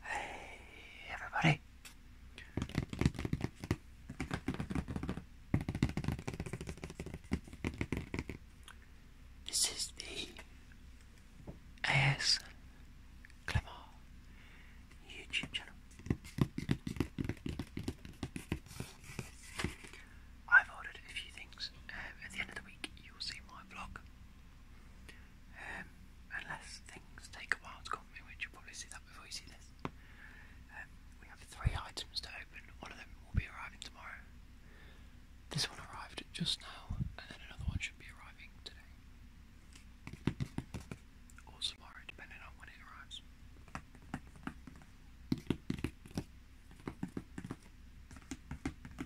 Hey, everybody. This is the AS Clemar YouTube channel. I've ordered a few things. Uh, at the end of the week, you'll see my vlog. Um, unless things take a while to come in, which you probably see that before you see this. Um, we have three items to open, one of them will be arriving tomorrow. This one arrived just now, and then another one should be arriving today. Or tomorrow, depending on when it arrives.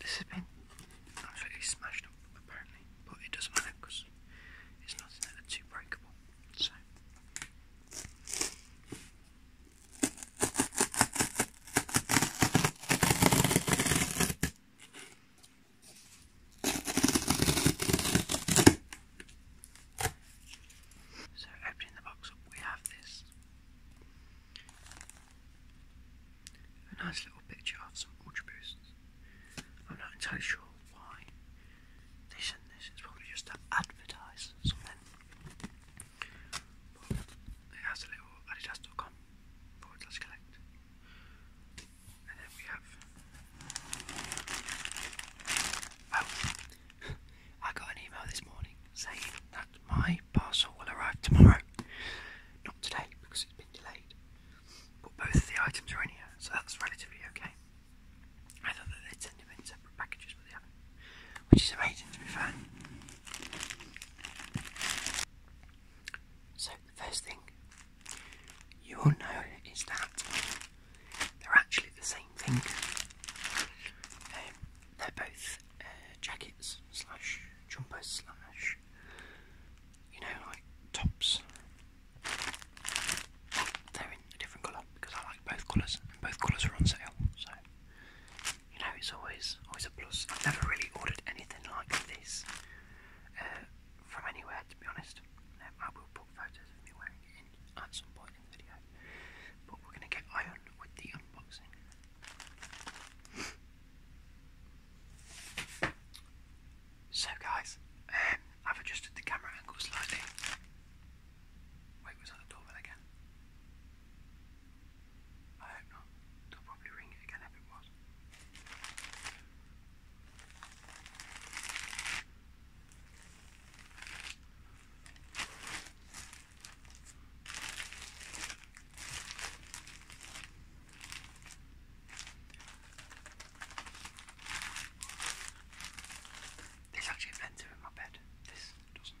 This has been absolutely smashed up apparently, but it doesn't matter because it's nothing that are too breakable. So. So, opening the box up, we have this a nice little picture of some Ultra Boosts. I'm not entirely sure why they sent this, it's probably just to advertise something. it has a little adidas.com forward slash collect. And then we have. Oh, I got an email this morning saying that my parcel will arrive tomorrow. Not today because it's been delayed. But both the items are in here, so that's relatively okay. I thought that they'd send them in separate packages, but they have Which is amazing to be fair. So the first thing you all know is that they're actually the same thing. Um, they're both uh, jackets slash jumpers slash you know like tops. They're in a different colour because I like both colours and both colours are on sale. So you know it's always always a plus. I've never really ordered anything like this uh, from anywhere to be honest. Um, I will put photos of me wearing it in, some point video. But we're going to get iron with the unboxing. So guys, um, I've adjusted the camera angle slightly. Wait, was that the doorbell again? I hope not. They'll probably ring it again if it was. This actually blends in my bed. This doesn't.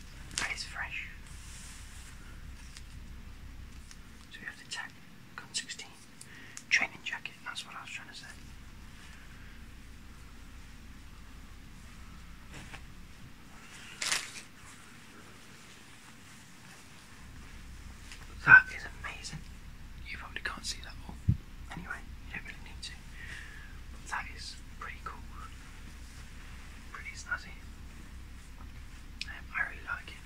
that is fresh. So we have the tech gun 16 training jacket, that's what I was trying to say. That is amazing. You probably can't see that all. Anyway, you don't really need to. that is pretty cool. Pretty snazzy. Um, I really like it.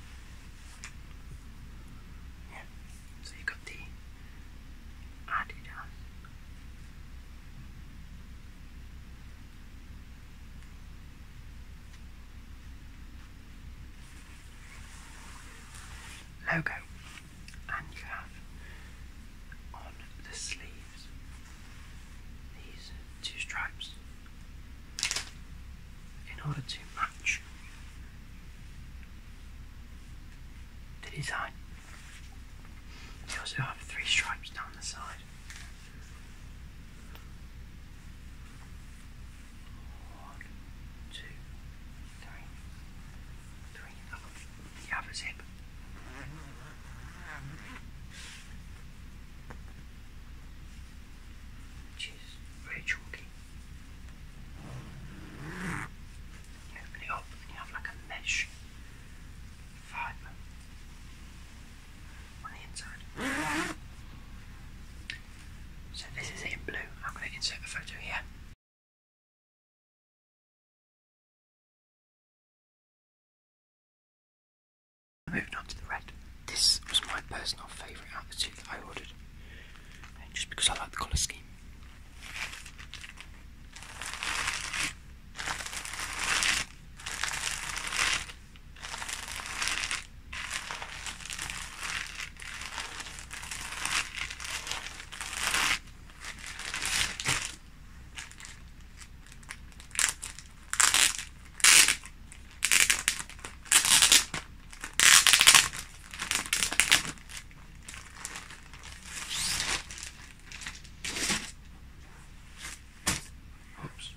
Yeah. So you got the Adidas. Logo, and you have on the sleeve these, two stripes in order to match the design. You also have three stripes down the side. One, two, three, three. You have zip. Which very chalky. You have like a mesh fibre on the inside. So this is in blue. I'm going to insert a photo here. Moving on to the red. This was my personal favourite out of the two that I ordered, just because I like the colour scheme. Oops.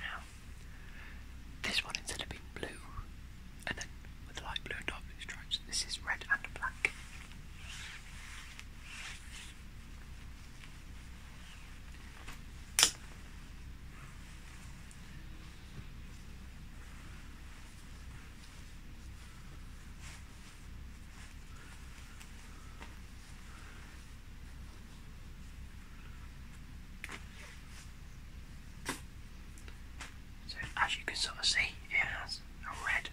Now this one, instead of being blue, and then with light blue and dark blue stripes, this is red and black. So as you can sort of see, it has a red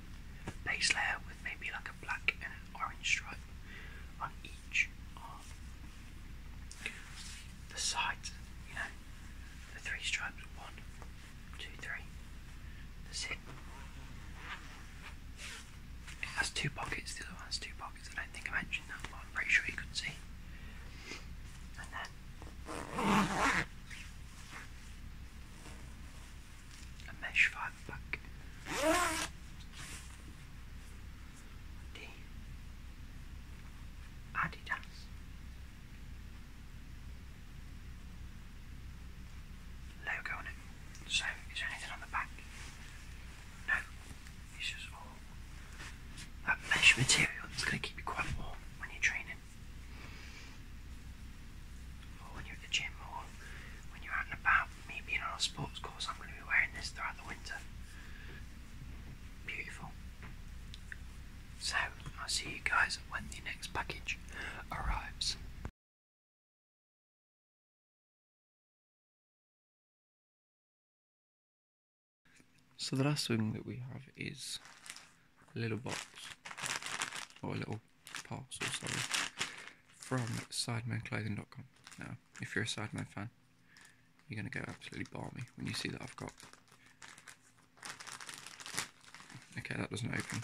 base layer with maybe like a black and orange stripe on each arm. the sides, you know, the three stripes, one, two, three, that's it. It has two pockets, the other one has two pockets. I don't think I mentioned that, but I'm pretty sure you could see. And then a mesh fibre pack. The Adidas. Logo on it. So, is there anything on the back? No, it's just all that mesh material that's going to keep you quite warm when you're training. Or when you're at the gym or when you're out and about. Me being on a sports course, I'm going to be wearing this throughout the winter. Beautiful. So, I'll see you guys when the next package arrives. So the last thing that we have is a little box, or a little parcel, sorry, from SidemanClothing.com. Now, if you're a Sideman fan, you're going to go absolutely balmy when you see that I've got... Okay, that doesn't open.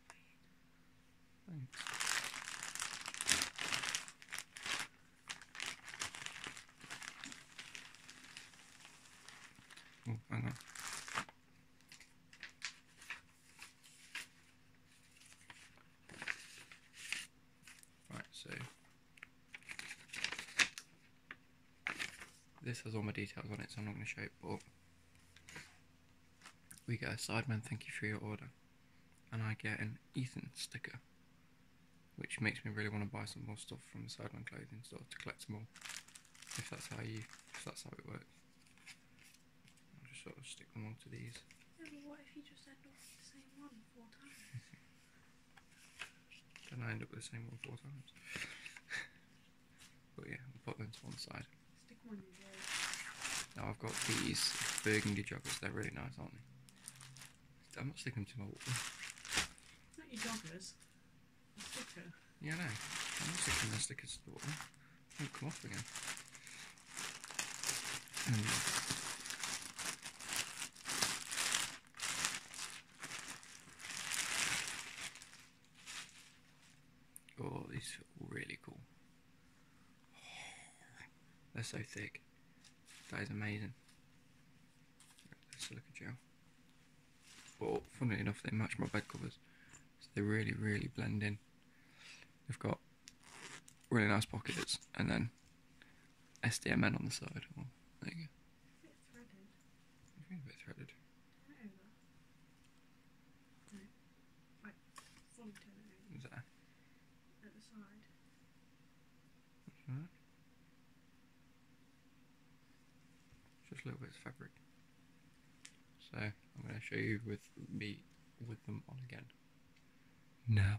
Thanks. Oh, hang on. Right, so this has all my details on it, so I'm not going to show it, but we get a Sideman thank you for your order, and I get an Ethan sticker, which makes me really want to buy some more stuff from the Sideman clothing store to collect more. If that's how you, if that's how it works, I'll just sort of stick them all to these. what if you just end up with the same one four times? then I end up with the same one four times. But yeah, we'll put them to one side. Now I've got these burgundy joggers. They're really nice, aren't they? I'm not sticking them to my wall. Not your joggers. Yeah, I know. I'm not sticking my stickers to the wall. They'll come off again. Um, Oh, these are really cool. They're so thick. That is amazing. Let's look at gel. Well, funnily enough, they match my bed covers. So they really, really blend in. They've got really nice pockets and then SDMN on the side. Oh, there you go. It's a bit threaded. a bit threaded. No. Like Is that? At the side. That's right. Just little bit of fabric. So I'm going to show you with me with them on again. Now.